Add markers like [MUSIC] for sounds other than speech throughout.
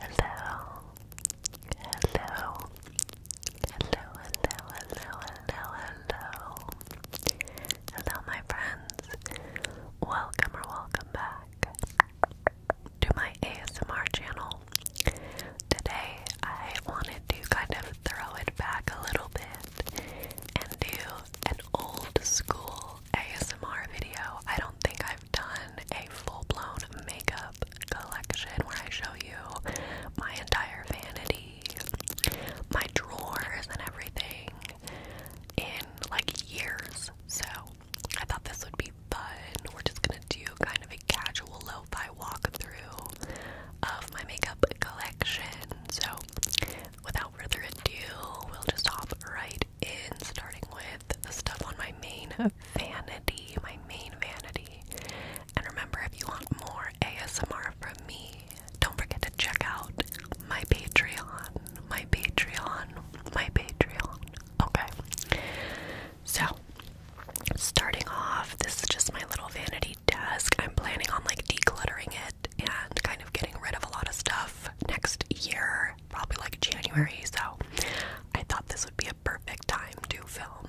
Hello. Hello. Hello, hello, hello, hello, hello. my friends. Welcome or welcome back to my ASMR channel. Today, I wanted to kind of throw it back a little bit and do an old school ASMR video. I don't think I've done a full blown makeup collection where I show you my entire vanity, my drawers, and everything in like years. So I thought this would be fun. We're just gonna do kind of a casual lo fi through of my makeup collection. So without further ado, we'll just hop right right starting with the stuff on my main vanity, my main vanity. And remember, if you want more ASMR from me, don't forget to check out my Patreon, my Patreon, my Patreon. Okay. So, starting off, this is just my little vanity desk. I'm planning on like decluttering it and kind of getting rid of a lot of stuff next year probably like January, so I thought this would be a perfect time to film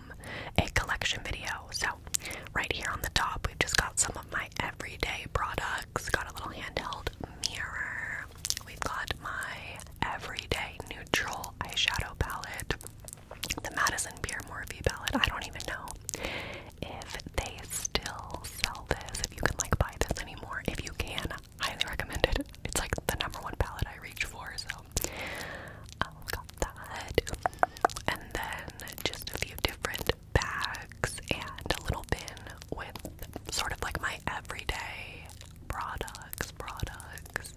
a collection video. So, right here on the top, we've just got some of my everyday products. Got a little handheld mirror. We've got my everyday neutral eyeshadow palette, the Madison Pierre Morphy palette. I don't even know if they still sell this, if you can like buy this anymore. If you can, highly recommended. It's like the number one palette I reach for, so um, got that. And then just a few different bags and a little bin with sort of like my everyday products, products.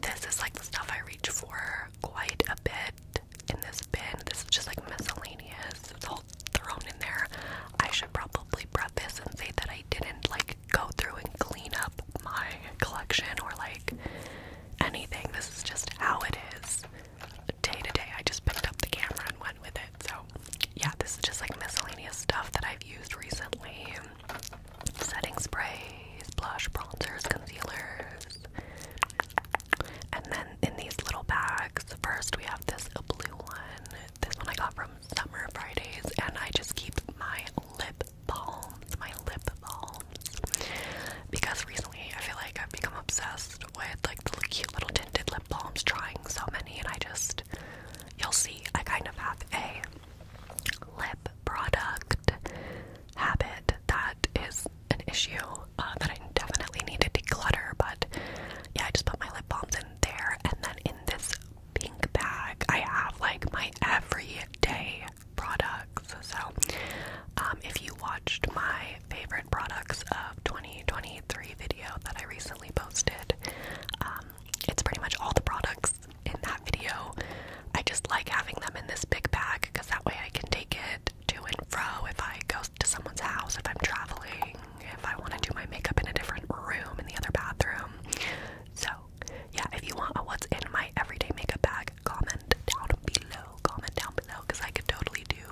This is like the stuff I reach for quite a bit in this bin. This is just like miscellaneous. It's all thrown in there. I should should probably preface and say that I didn't like go through and clean up my collection or like anything. This is just how it is day to day. I just picked up the camera and went with it. So, yeah, this is just like miscellaneous stuff that I've used recently setting sprays, blush, bronzers, concealers. And then in these little bags, first we have this blue one. This one I got from summer Fridays, and I just keep my lip balms, my lip balms, because recently I feel like I've become obsessed with like the cute little tinted lip balms, trying so many, and I just, you'll see, I kind of have a lip product habit that is an issue uh, that I definitely need to declutter, but yeah, I just put my lip balms in there, and then in this pink bag, I have like my everyday products. So, um, if you watched my favorite products of 2023 video that I recently posted, um, it's pretty much all the products in that video. I just like having them in this big bag because that way I can take it to and fro if I go to someone's house, if I'm traveling, if I want to do my makeup in a different room in the other bathroom. So, yeah, if you want a what's in my everyday makeup bag, comment down below. Comment down below because I could totally do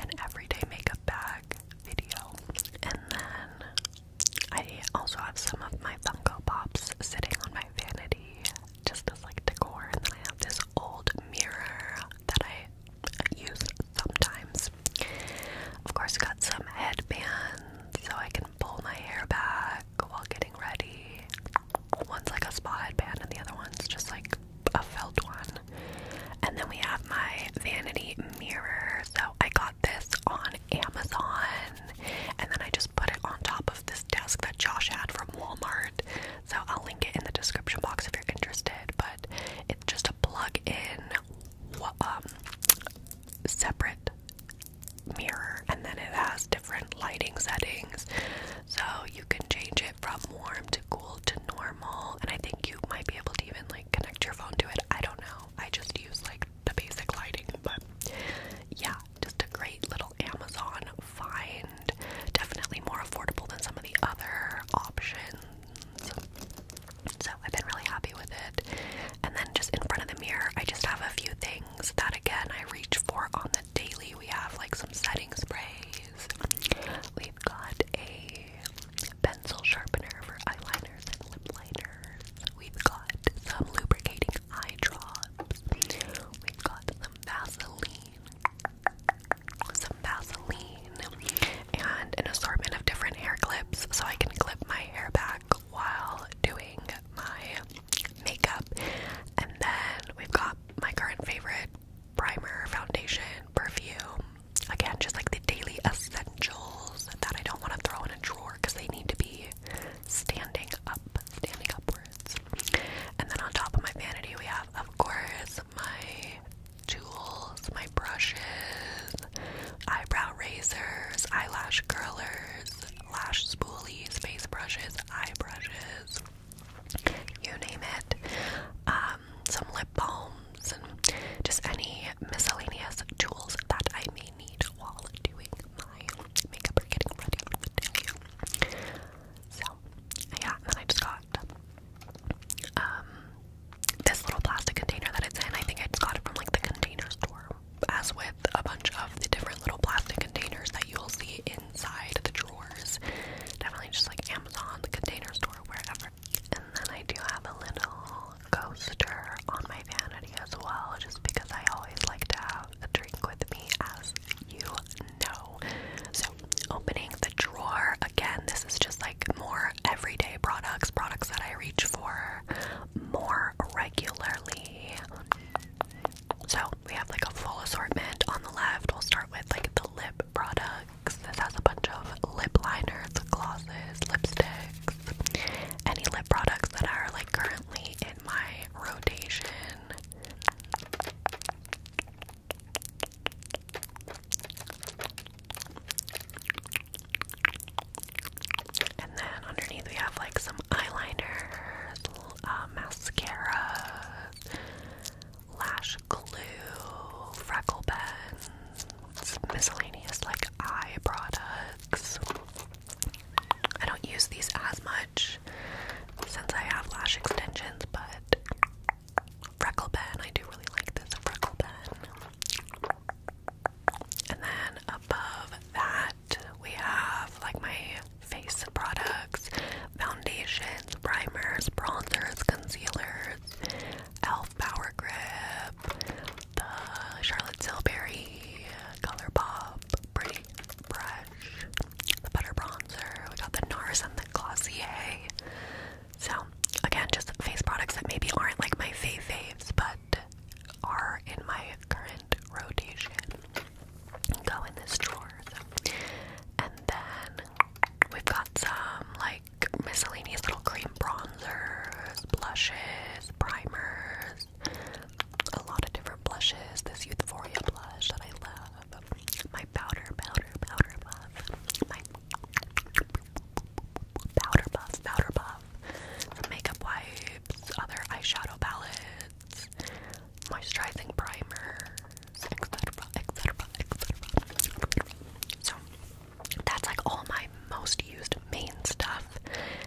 an everyday makeup bag video. And then I also have some of my Funko Pops sitting on my vanity just as like decor. And then I have this old mirror that I use sometimes. Of course, got some headbands so I can pull my hair back while getting ready. One's like a spa headband, and the other one's just like a felt one. And then we have my vanity mirror. So I got this on Amazon, and then I just put it on top of this desk that Josh had from Walmart. So I'll link it in the description box if you're interested. But just a plug-in um, separate mirror, and then it has different lighting settings, so you can change it from warm to cool to normal. And I think you might be able to even like connect your phone to it. I don't know. I just use like the basic lighting, but yeah, just a great little Amazon find. Definitely more affordable than some of the other options. So I've been really happy with it. And then just in front of the mirror, I just have a few things that again I reach for on the daily. We have like some setting sprays. We've got a pencil sharpener for eyeliners and lip liners. We've got some lubricating eye drops. We've got some Vaseline. Some Vaseline and an assortment of different hair clips so I can clip my hair back while doing my makeup. And then we've got my current favorite primer, foundation, perfume. Again, just like the daily essentials that I don't want to throw in a drawer because they need to be standing up, standing upwards. And then on top of my vanity, we have, of course, my tools, my brushes, eyebrow razors, eyelash curlers, lash spoolies, face brushes, eye brushes, you name it. Um, some lip balms and just any miscellaneous tools that I may need while doing my makeup or getting ready for the So yeah, and I just got um, this little plastic container that it's in. I think I just got it from like the container store. As with a bunch of the different little plastic containers that you'll see inside the drawers. Definitely just like Amazon, the container store, wherever. And then I do have a little coaster on my vanity as well, just because I always like to have a drink with me, as you know. So, opening the drawer again, this is just like like more everyday products, products that I reach for more regularly. So we have like a full assortment on the left. We'll start with like the lip products. This has a bunch of lip liners, glosses, lipsticks, any lip products that are like currently in my rotation. And then underneath we have like some eyeliners, uh, mascara, lash glue, freckle pens, miscellaneous like eye products. I don't use these as much since I have lash extensions, but freckle pen, I do really like this freckle pen. And then above that, we have like my face products, foundations, primers, bronzers, concealers, e.l.f. Power Grip, the Charlotte Tilbury Color Pop Pretty Brush, the Butter Bronzer, we got the NARS and the Glossier, so again, just face products that maybe aren't like my fave faves, but are in my current rotation. Go in this drawer. And then we've got some like miscellaneous little cream bronzers, blushes, primers, a lot of different blushes. This Euphoria blush that I love. My powder, powder, powder puff. My powder puff, powder puff, makeup wipes, other eyeshadow palettes, moisturizing primer, etc., etc., etc. So that's like all my most used main stuff.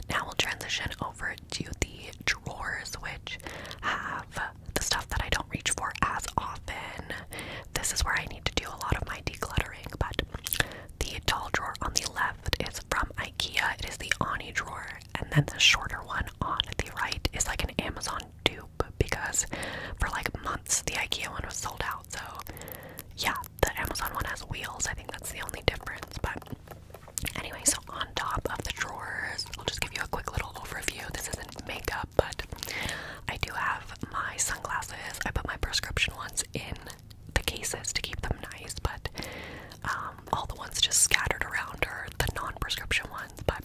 Now we'll transition over to the drawers, which have the stuff that I don't reach for as often, this is where I need to do a lot of my decluttering, but the tall drawer on the left is from IKEA. It is the Ani drawer, and then the shorter one on the right is like an Amazon dupe because for like months the IKEA one was sold out. So yeah, the Amazon one has wheels. I think that's the only difference. But anyway, so on top of the drawers, I'll just give you a quick little overview. This isn't makeup, but I do have my sunglasses. I put my prescription ones in the cases to keep them nice, but um, all the ones just scattered around are the non prescription ones. But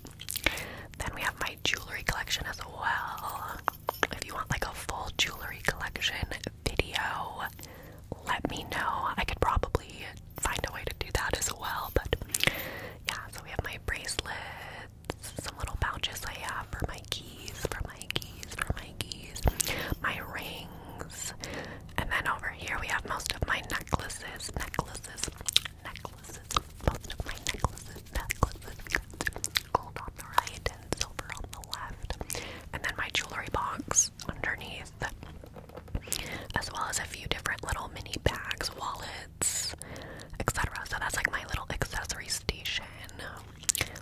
then we have my jewelry collection as well. If you want like a full jewelry collection video, let me know. I could probably find a way to do that as well, but yeah, so we have my bracelets, some little pouches I have for my keys keys, for my keys, for my keys, my rings. And then over here we have most of my necklaces, necklaces, necklaces, most of my necklaces, necklaces, gold on the right silver on the left. And then my jewelry box underneath, as well as a few different little mini bags, wallets, etc. So that's like my little accessory station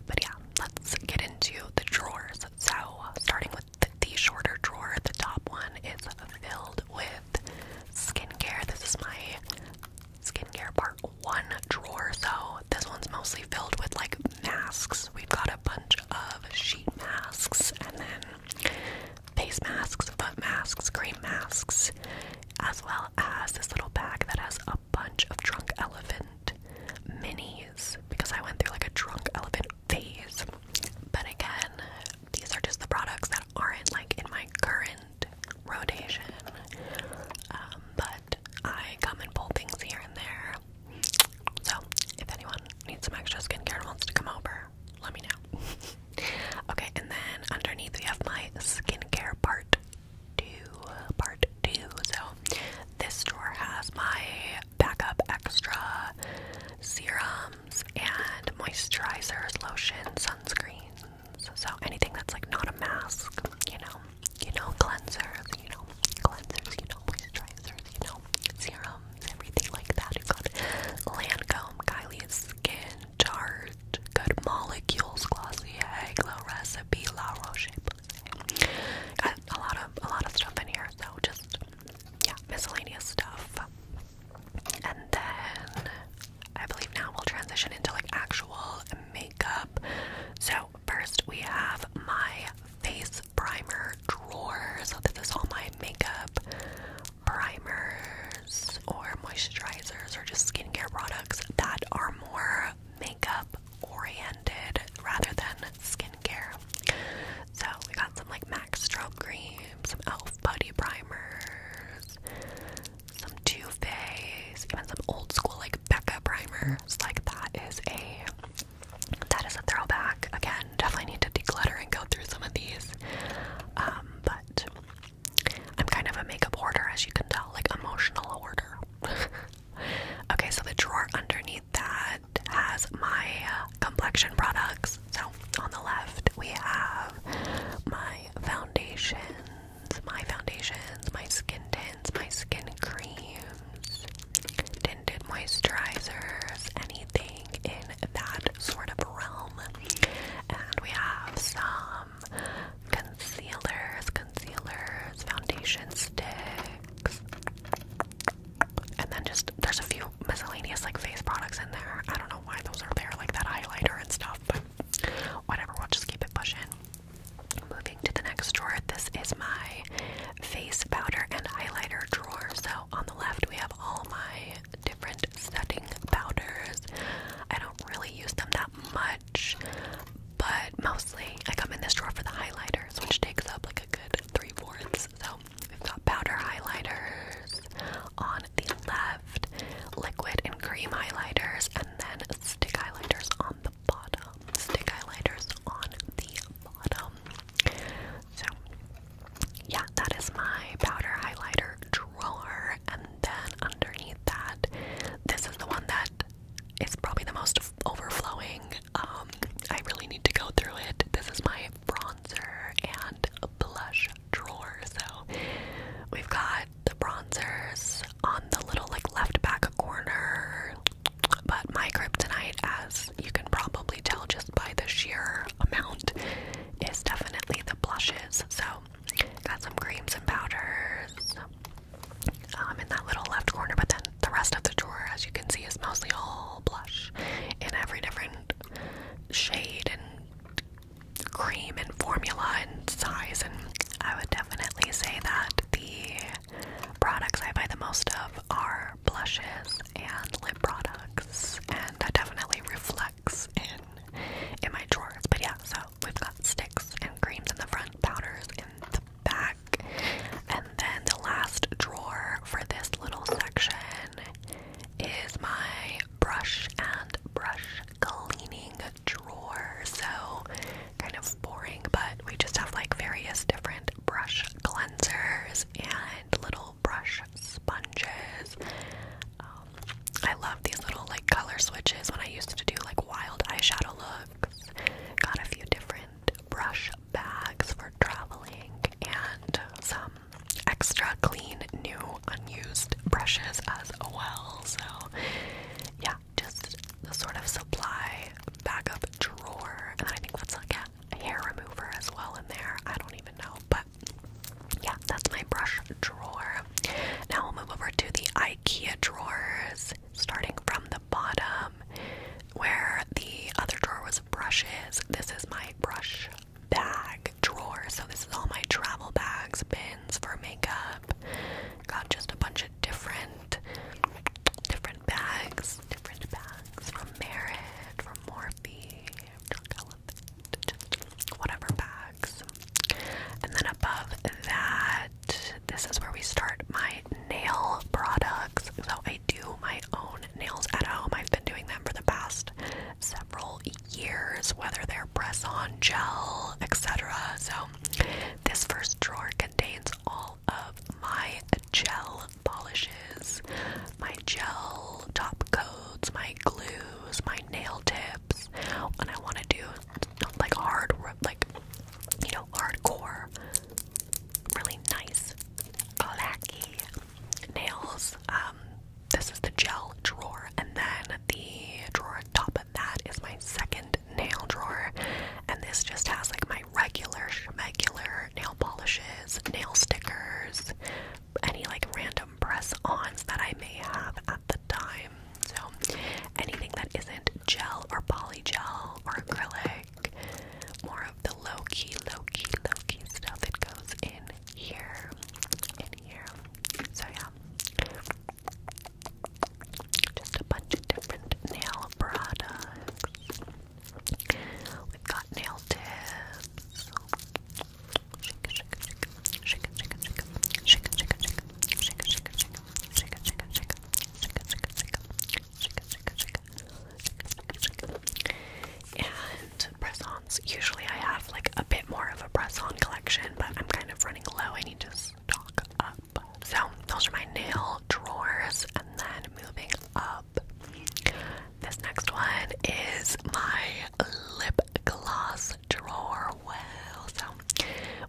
but yeah, let's get into the drawers. So, starting with the, shorter drawer, the top one is filled with skincare. This is my skincare part one drawer. So, this one's mostly filled with like masks. We've got a bunch of sheet masks and then face masks, foot masks, cream masks, as well as this little bag that has a bunch of drunk elephant minis because I went through like a drunk elephant phase. But again, these are just the products that aren't like in my current rotation. Um, but I come and pull things here and there. So if anyone needs some extra skincare and wants to come over, let me know. [LAUGHS] okay, and then underneath we have my skincare part two, part two. So this drawer has my backup extra serums and moisturizers, lotion, sunscreens. So anything that's like not a mask, you know, you know, cleansers, you know, cleansers, you know, moisturizers, you know, serums, everything like that. You've got Lancome, Kylie Skin, Tarte, Good Molecules, Glossier, Glow Recipe, La Roche a lot of a lot of stuff in here, so just yeah, miscellaneous stuff. And then I believe now we'll transition into like actual makeup. So first we have my face primer drawer. So this is all my makeup primers or moisturizers or just skincare products that are more makeup oriented rather than skincare. So we got some like Max Strobe Cream, some e.l.f. Putty Primers, some Too Faced, even some old school like Becca primers. Like that is a that is a throwback. Again, definitely need to declutter and go through some of these. Um, but I'm kind of a makeup hoarder, as you can tell, like emotional order. [LAUGHS] Okay, so the drawer underneath that has my complexion products. So on the left, we have my foundations, my foundations, my skin tints, my skin creams, tinted moisturizers, anything in that sort of realm. And we have some um, concealers, concealers, foundation sticks, and then just there's a few miscellaneous like face products in there. I don't know why those are there, like that highlighter and stuff, but whatever, we'll just keep it pushing. Moving to the next drawer, this is my face powder and highlighter drawer. So on the left, we have all my different setting powders. I don't really use them that much but mostly I come in this drawer for the highlighters, which takes up like a good three fourths. So we've got powder highlighters on the left, liquid and cream highlighters, and then stick highlighters on the bottom. Stick highlighters on the bottom. So, yeah, that is my powder highlighter drawer. And then underneath that, this is the one that it's probably the most overflowing. Um, I really need to go through it. This is my bronzer and blush drawer. So we've got the bronzers on the little like left back corner. But my kryptonite, as you can probably tell just by the sheer amount, is definitely the blushes. So got some creams and powders um, in that little left corner, but then the rest of the drawer, as you can see, is mostly all blush in every different shade and cream and formula and size. And I would definitely say that the products I buy the most of are blushes and lip products, and that definitely reflects in in my drawers. But yeah, so we've got sticks and creams in the front, powders in the back. And then the last drawer for this little section is my brush and brush cleaning drawer. So kind of boring, but we just have like various different brush cleansers and little brush sponges. Um, I love these little like color switches when I used to do like wild eyeshadow looks bags. Got a few different brush bags for traveling and some extra clean, new, unused brushes as well. So, yeah, just the sort of supply backup drawer. And I think let's look a hair remover as well in there. I don't even know, but yeah, that's my brush drawer. Now i will move over to the IKEA drawers starting from the bottom where the other drawer was brushes. This is my brush bag drawer. So, this is all my travel bags, bins for makeup. Got just a bunch of different different bags, different bags from Merit, from Morphe, from Elephant, just whatever bag. And then above that, this is where we start my nail products. So I do my own nails at home. I've been doing them for the past several years, whether they're press on, gel, etc. So this first drawer contains all of my gel polishes, my gel top coats, my glues, my nail tips. When I want to do like hard, like you know, hardcore, really nice blacky nails. Um, this is the gel drawer, and then the drawer top of that is my second nail drawer, and this just has like my regular regular nail polishes, nail stickers, any like random press ons that I may have at the time. So anything that isn't gel or polygel or acrylic, more of the low key, low key, low key stuff that goes in here, in here. So yeah, just a bunch of different nail products. We've got nail tips. And press-ons. Usually I have like a bit more of a press-on collection, but I'm kind of running low. I need to stock up. So those are my nail drawers, and then moving up. This next one is my lip gloss drawer. Wow,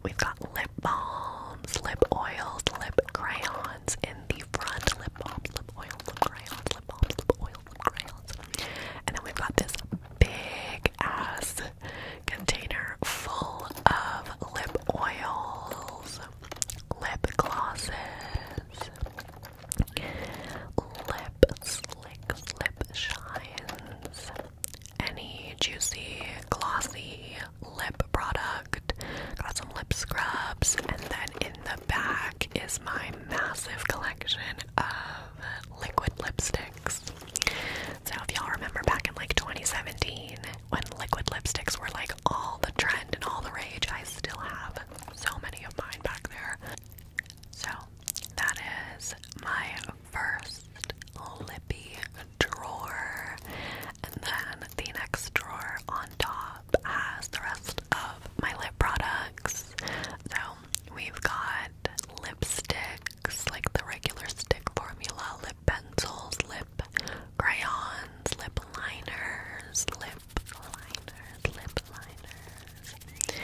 we've got lip balms, lip oils, lip crayons in the front. Lip balms, lip oils, lip crayons, lip balms, lip oils, lip crayons. And then we've got this big ass container full of lip oils, lip glosses, lip slicks, lip shines, any juicy, glossy lip product. Got some lip scrubs, and then in the back is my massive collection of liquid lipsticks. So, if y'all remember back in like 2017 when liquid lipsticks were like all the trend and all the rage, I still have so many of mine back there. So, that is my first lippy drawer, and then the next drawer on top has the rest of my lip products. So we've got lipsticks, like the regular stick formula, lip pencils, lip crayons, lip liners, lip liners, lip liners.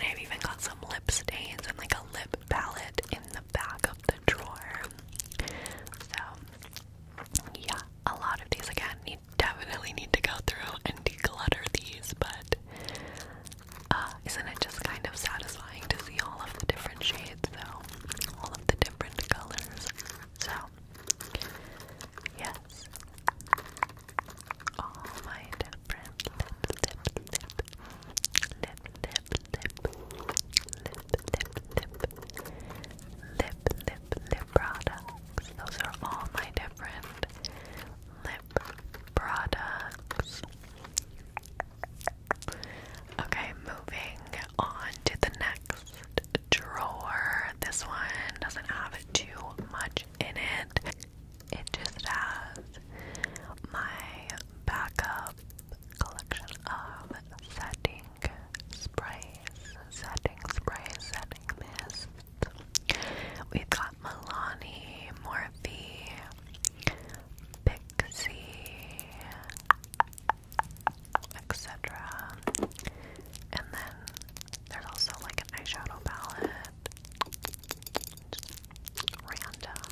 And I've even got some lip stains and like a lip palette in the back of the drawer. So, yeah, a lot of these again, you definitely need to go through and declutter these, but uh, isn't it just kind of satisfying to see all of the different shades, though? All of the different colors. So, yes. All my different lip, lip, lip, lip, lip, lip, lip, lip, lip, lip, lip products. Those are all my different lip products. Okay, moving on to the next drawer. This one doesn't have too much in it. It just has my backup collection of setting sprays, setting sprays, setting mist. We've got Milani, Morphe, Pixie, etc. And then there's also like an eyeshadow palette random.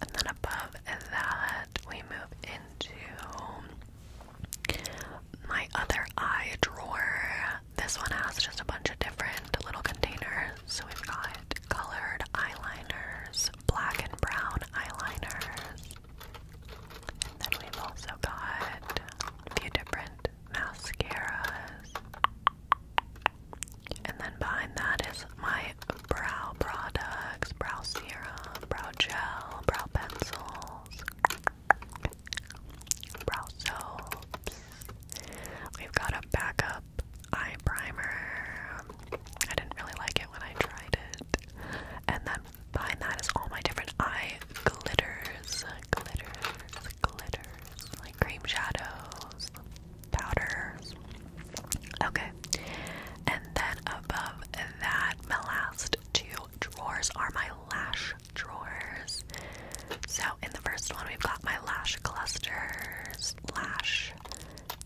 And then above that, we move into my other eye drawer. This one has just a bunch of different little containers. So we've got colored eyeliners, black and brown eyeliners. And then we've also got a few different mascaras. And then behind that is my brow products, brow serum, brow gel, brow pencils, brow soaps. We've got a backup eye primer. I didn't really like it when I tried it. And then behind that is all my different eye glitters, glitters, glitters cream shadows, powders. Okay, and then above that, my last two drawers are my lash drawers. So, in the first one, we've got my lash clusters, lash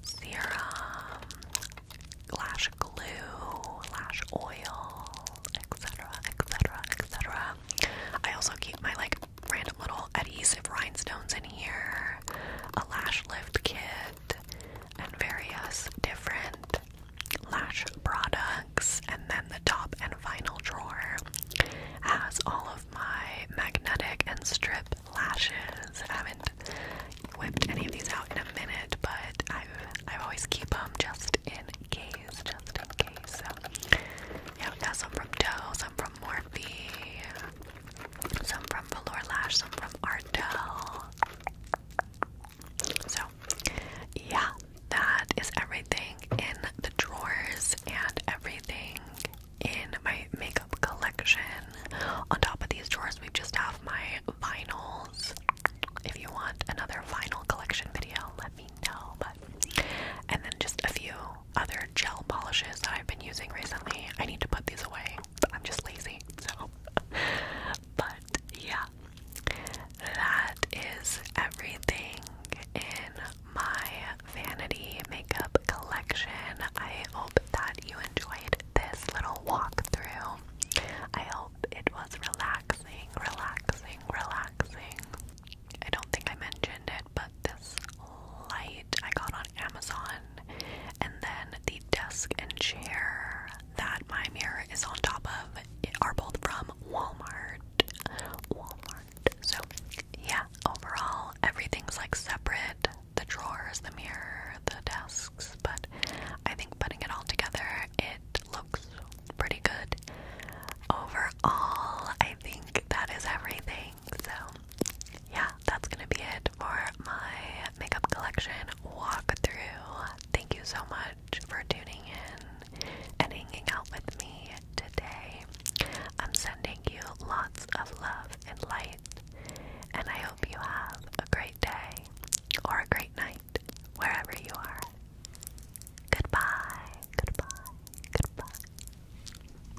serum, lash glue, lash oil, etc., etc., etc. I also keep my like random little adhesive rhinestones in here, a lash lift kit, and various different lash products. And then the top and final drawer has all of my magnetic and strip lashes. I haven't whipped any of these out in a minute, but i I always keep them just in case, just in case. yeah, we got some from Doe, some from Morphe, some from Velour Lash, some from Ardell. So, yeah, that is everything in the drawers and everything in my makeup collection. On top of these drawers, we just have my vinyls. If you want another vinyl collection video, let me know. But and then just a few other gel polishes that I've been using recently. I need to put these away. I'm just lazy, so. [LAUGHS] but yeah, that is everything in my vanity makeup collection. I hope that you enjoyed this little walkthrough. I hope it was relaxing, relaxing, relaxing. I don't think I mentioned it, but this light I got on Amazon, and then the desk and chair that my mirror is on top of are both from Walmart. Walmart. So, yeah, overall, everything's like separate the drawers, the mirror, the desks, but I think putting it all together, it looks pretty good. Overall, I think that is everything. So, yeah, that's gonna be it for my makeup collection walk through. Thank you so much for tuning in and hanging out with me today. I'm sending you lots of love and light, and I hope you have a great day or a great night wherever you are. Goodbye, goodbye, goodbye.